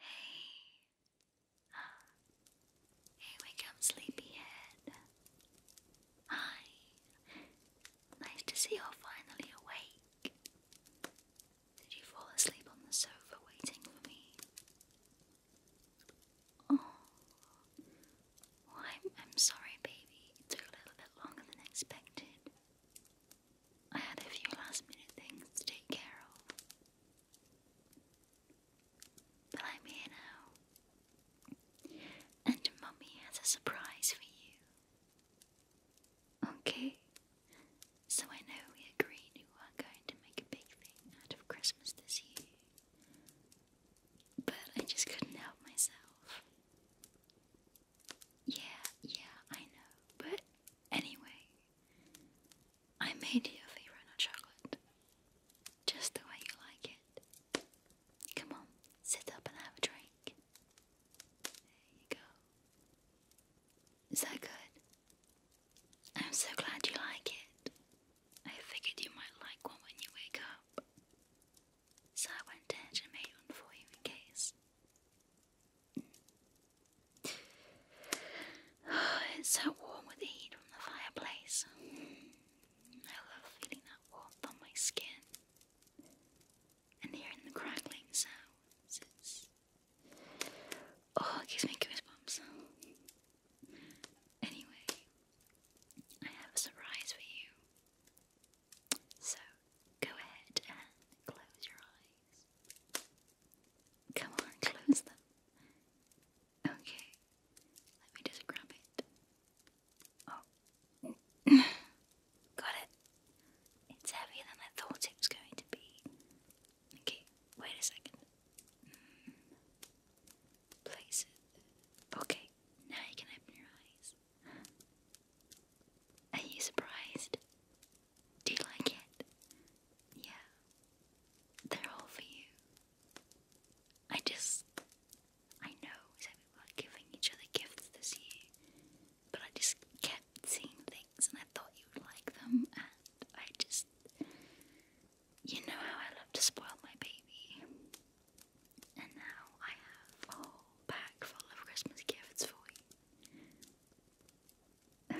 Hey. Uh, hey, wake sleepyhead. Hi. Nice to see you're finally awake. Did you fall asleep on the sofa waiting for me? Oh. I'm, I'm sorry, baby. It took a little bit longer than expected. I had a few last minute things to take care of. But I'm here now. And Mummy has a surprise for you. Okay? So I know we agreed we weren't going to make a big thing out of Christmas this year. But I just couldn't help myself. Yeah, yeah, I know. But anyway, I made you a favorite of chocolate. Just the way you like it. Come on, sit up and have a drink. There you go. Is that good? I'm so glad you like it. I figured you might like one when you wake up. So I went ahead and made one for you in case. it's so warm with the heat from the fireplace. I love feeling that warmth on my skin and hearing the crackling sounds. Oh, it gives me goosebumps. Anyway, I have a surprise for you. So go ahead and close your eyes. Come on, close them. Okay, let me just grab it. Oh, got it. It's heavier than I thought it was going to be. Okay, wait a second. Hmm. Place it. Okay, now you can open your eyes. Are you surprised? Do you like it? Yeah. They're all for you. I just. I know that we were giving each other gifts this year, but I just kept seeing things and I thought you would like them, and I just. You know how I love to spoil my baby. And now I have a whole bag full of Christmas gifts for you no,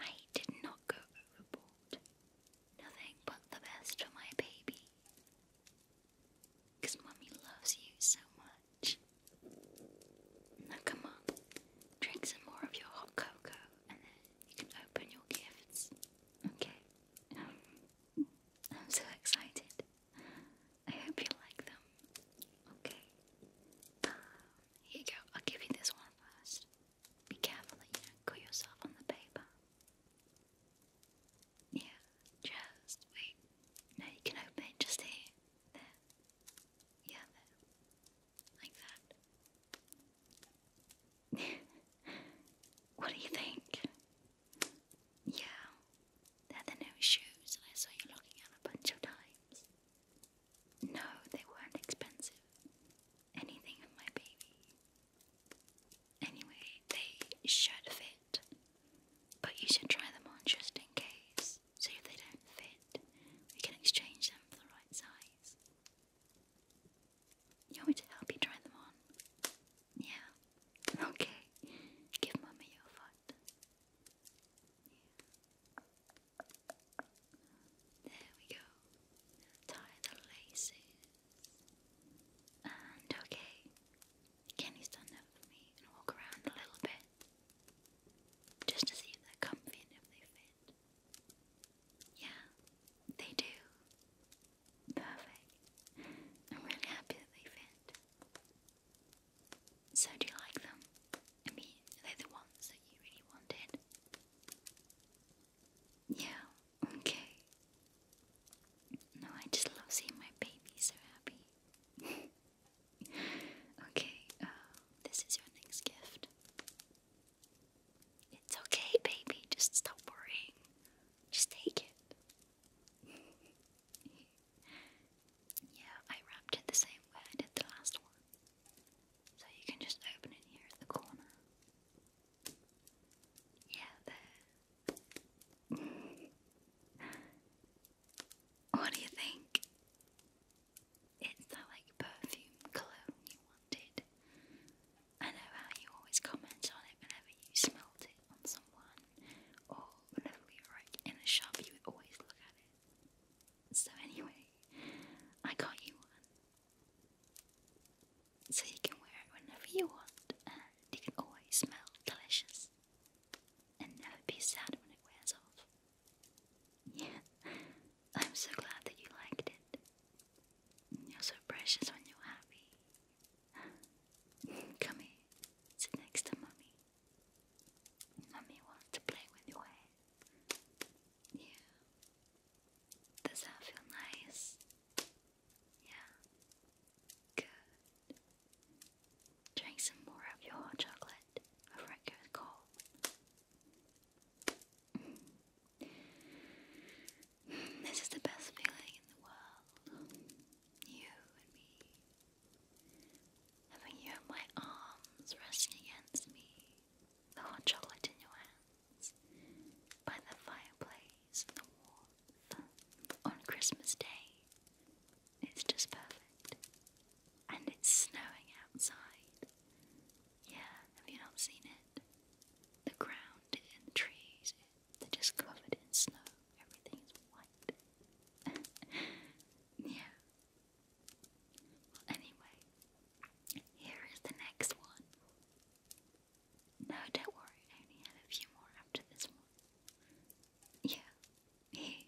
I did not go overboard. Nothing but the best for my baby. Because mommy loves you so much. Now come on, drink some more of your hot cocoa and then you can open your gifts. Okay. I'm so excited. I hope you like them. Okay. Uh, here you go. I'll give you this one first. Be careful that you don't cut yourself on the paper. Yeah, just wait. No, you can open just here. There. Yeah, there. Like that. what do you think? Yeah. They're the new shoes I saw you looking at a bunch of times. No, they weren't expensive. Anything of my baby. Anyway, they should fit. But you should try them on just in case. See if they don't fit. We can exchange them for the right size. You want me to help you try them on? Yeah. Okay. Give mummy your foot. There we go. Tie the laces. And okay, can you stand up for me and walk around a little bit? Just to see if they're comfy and if they fit. Yeah, they do. Perfect. I'm really happy that they fit. So, do you like them? I mean, are they the ones that you really wanted? Yeah, okay. No, I just love seeing my baby so happy. okay, um, this is your next gift. It's okay, baby, just stop worrying. Just take it. yeah, I wrapped it the same way I did the last one. So you can just open it here at the corner. Yeah, there. what do you think? It's that like perfume cologne you wanted. I know how you always comment on it whenever you smelt it on someone, or whenever we were like, in a shop, you would always look at it. So, anyway, I got you one. So you can wear it whenever you want, and it can always smell delicious. And never be sad when it wears off. Yeah, I'm so glad that you liked it. You're so precious when you're happy. Come here, sit next to Mummy. Mummy wants to play with your hair. Eh? Yeah. Does that feel nice? Yeah. Good. Drink some more of your hot chocolate before it cold. Mm. This is the best feeling in the world. You and me have you in my arms resting against me, the hot chocolate in your hands, by the fireplace the warmth on Christmas Day? It's just perfect. And it's snowing outside. Yeah, have you not seen it? The ground and trees, they're just covered in snow. Everything white. yeah. Well, anyway, here is the next one. No, don't worry, I only had a few more after this one. Yeah, here.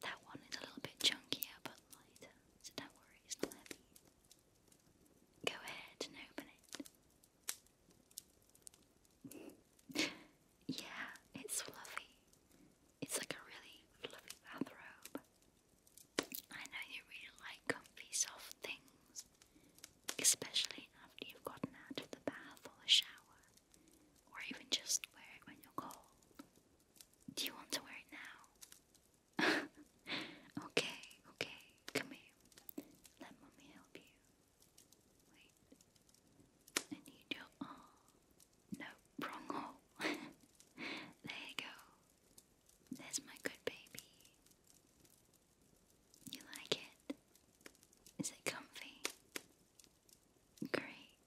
That one is a little bit chunkier but lighter, so don't worry, it's not heavy. Go ahead and open it yeah, it's fluffy. It's like a really fluffy bathrobe. I know you really like comfy, soft things, especially after you've gotten out of the bath or the shower, or even just wear it when you're cold. Do you want to wear it now? okay, okay, come here. Let mommy help you. Wait. I need your oh no, wrong hole. there you go. There's my good baby. You like it? Is it comfy? Great.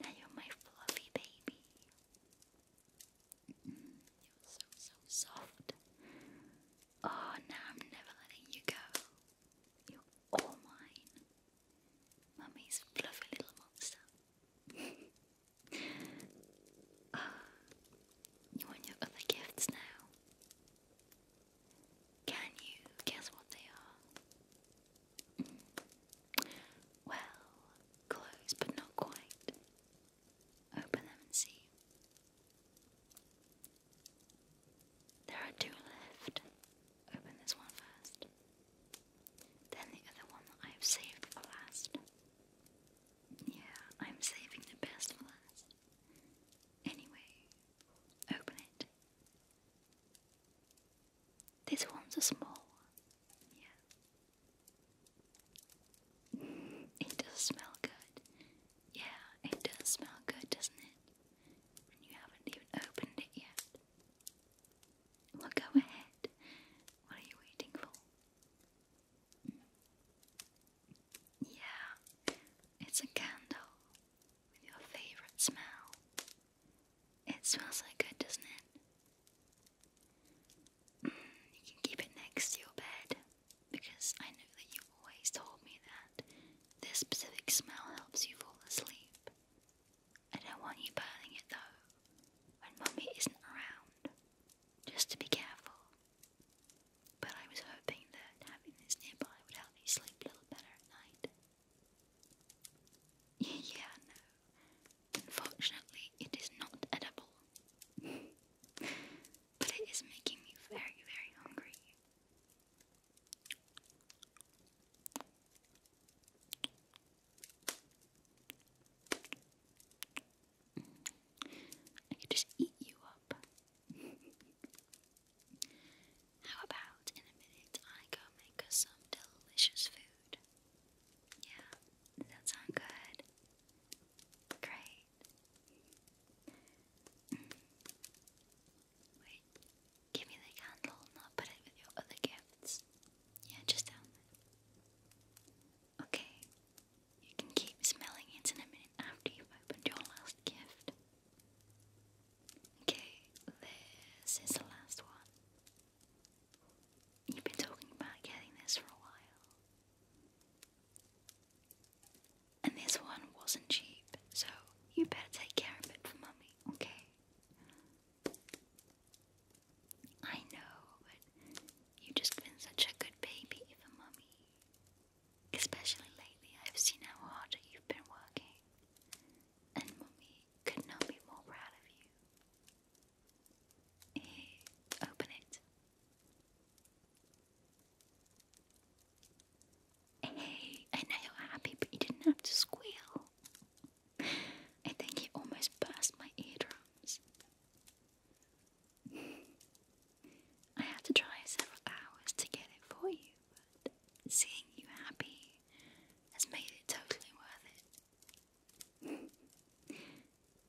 Now you're my fluffy baby. Mm, you're so, so soft. Oh, now I'm never letting you go. You're all mine. Mummy's fluffy little monster. Ah, you want your other gifts now? Can you guess what they are? Mm. Well, close but not quite. Open them and see. There are two left. Open this one first. Then the other one that I've saved for last. Yeah, I'm saving the best for last. Anyway, open it. This one's a small one. Yeah. It does smell good. Yeah, it does smell good, doesn't it? you haven't even opened it yet. Well, go ahead. What are you waiting for? Yeah, it's a candle with your favorite smell. It smells like good, doesn't it? Mm, you can keep it next to your bed because I know that you always told me that this specific smell helps you fall asleep. I don't want you burning it though, when Mummy isn't around. Just to be careful. But I was hoping that having this nearby would help me sleep a little better at night. yeah, no. Unfortunately, it is not edible. but it is making me very, very hungry. I could just eat you up. How about in a minute I go make us some delicious food? Yeah, that sound good? Great. Wait, give me the candle and put it with your other gifts. Yeah, just down there. Okay, you can keep smelling it in a minute after you've opened your last gift. Okay, this is the last one. You've been talking about getting this for a while. And this one wasn't cheap, so you better take care of it for mummy, okay? I know, but you just been such a good baby for mummy. Especially lately, I've seen how hard you've been working. And mummy could not be more proud of you. Here, open it. Hey, I know you're happy, but you didn't have to squeal. I think you almost burst my eardrums. I had to try several hours to get it for you, but seeing you happy has made it totally worth it.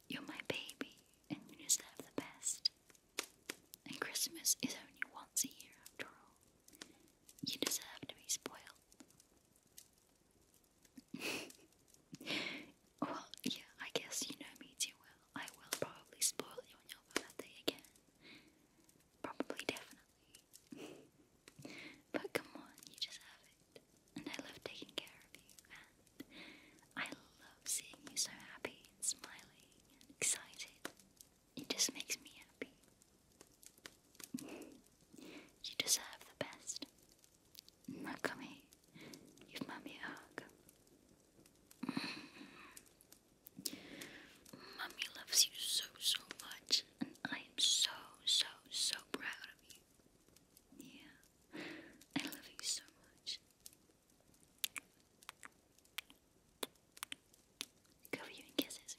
You're my baby, and you deserve the best. And Christmas is only once a year, after all. You deserve to be spoiled. well, yeah, I guess you know me too well. I will probably spoil you on your birthday again. Probably, definitely. but come on, you deserve it. And I love taking care of you, I love seeing you so happy smiling excited. It just makes me happy. you deserve the best. Nakami, give Mummy a hug. Mummy loves you so, so much, and I am so, so, so proud of you. Yeah, I love you so much. Cover you in kisses.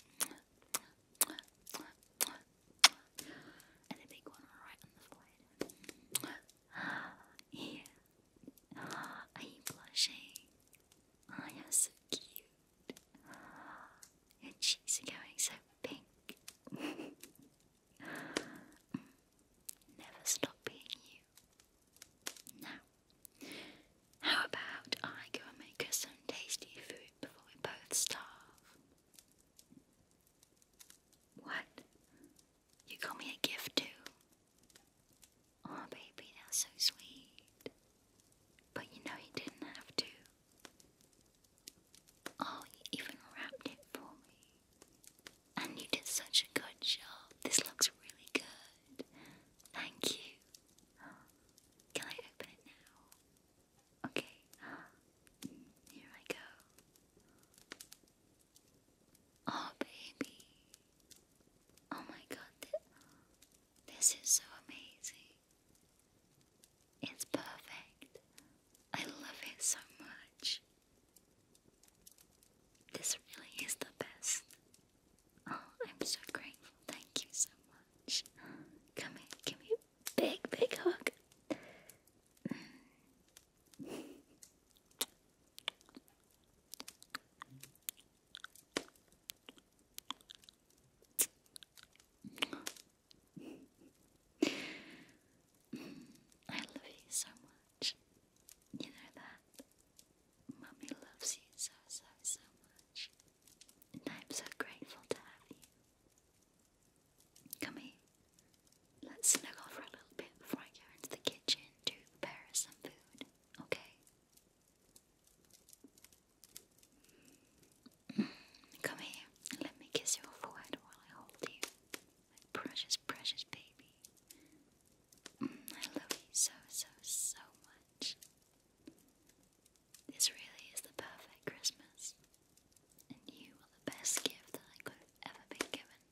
And a big one right on the forehead. Yeah. Are you blushing? Oh, you're so cute. Your cheeks are going so pink. Never stop being you. Now, how about I go make us some tasty food before we both starve? What? You got me a gift too? Oh, baby, that's so sweet. But you know you didn't have to. Oh, you even wrapped it for me. And you did such a good job. This looks really good. Thank you. Can I open it now? Okay. Here I go. Oh, baby. Oh my god, this is so amazing. It's perfect. I love it so much. This really is the best. Oh, I'm so grateful. Thank you so much. Come here, give me a big, big hug. I love you so much. You know that. Mummy loves you so, so, so much. And I'm so grateful to have you. Come here. Let's snuggle for a little bit before I go into the kitchen to prepare some food, okay? Mm, come here let me kiss your forehead while I hold you. My precious, precious baby. I love you so, so, so much. This really is the perfect Christmas, and you are the best gift that I could ever been given.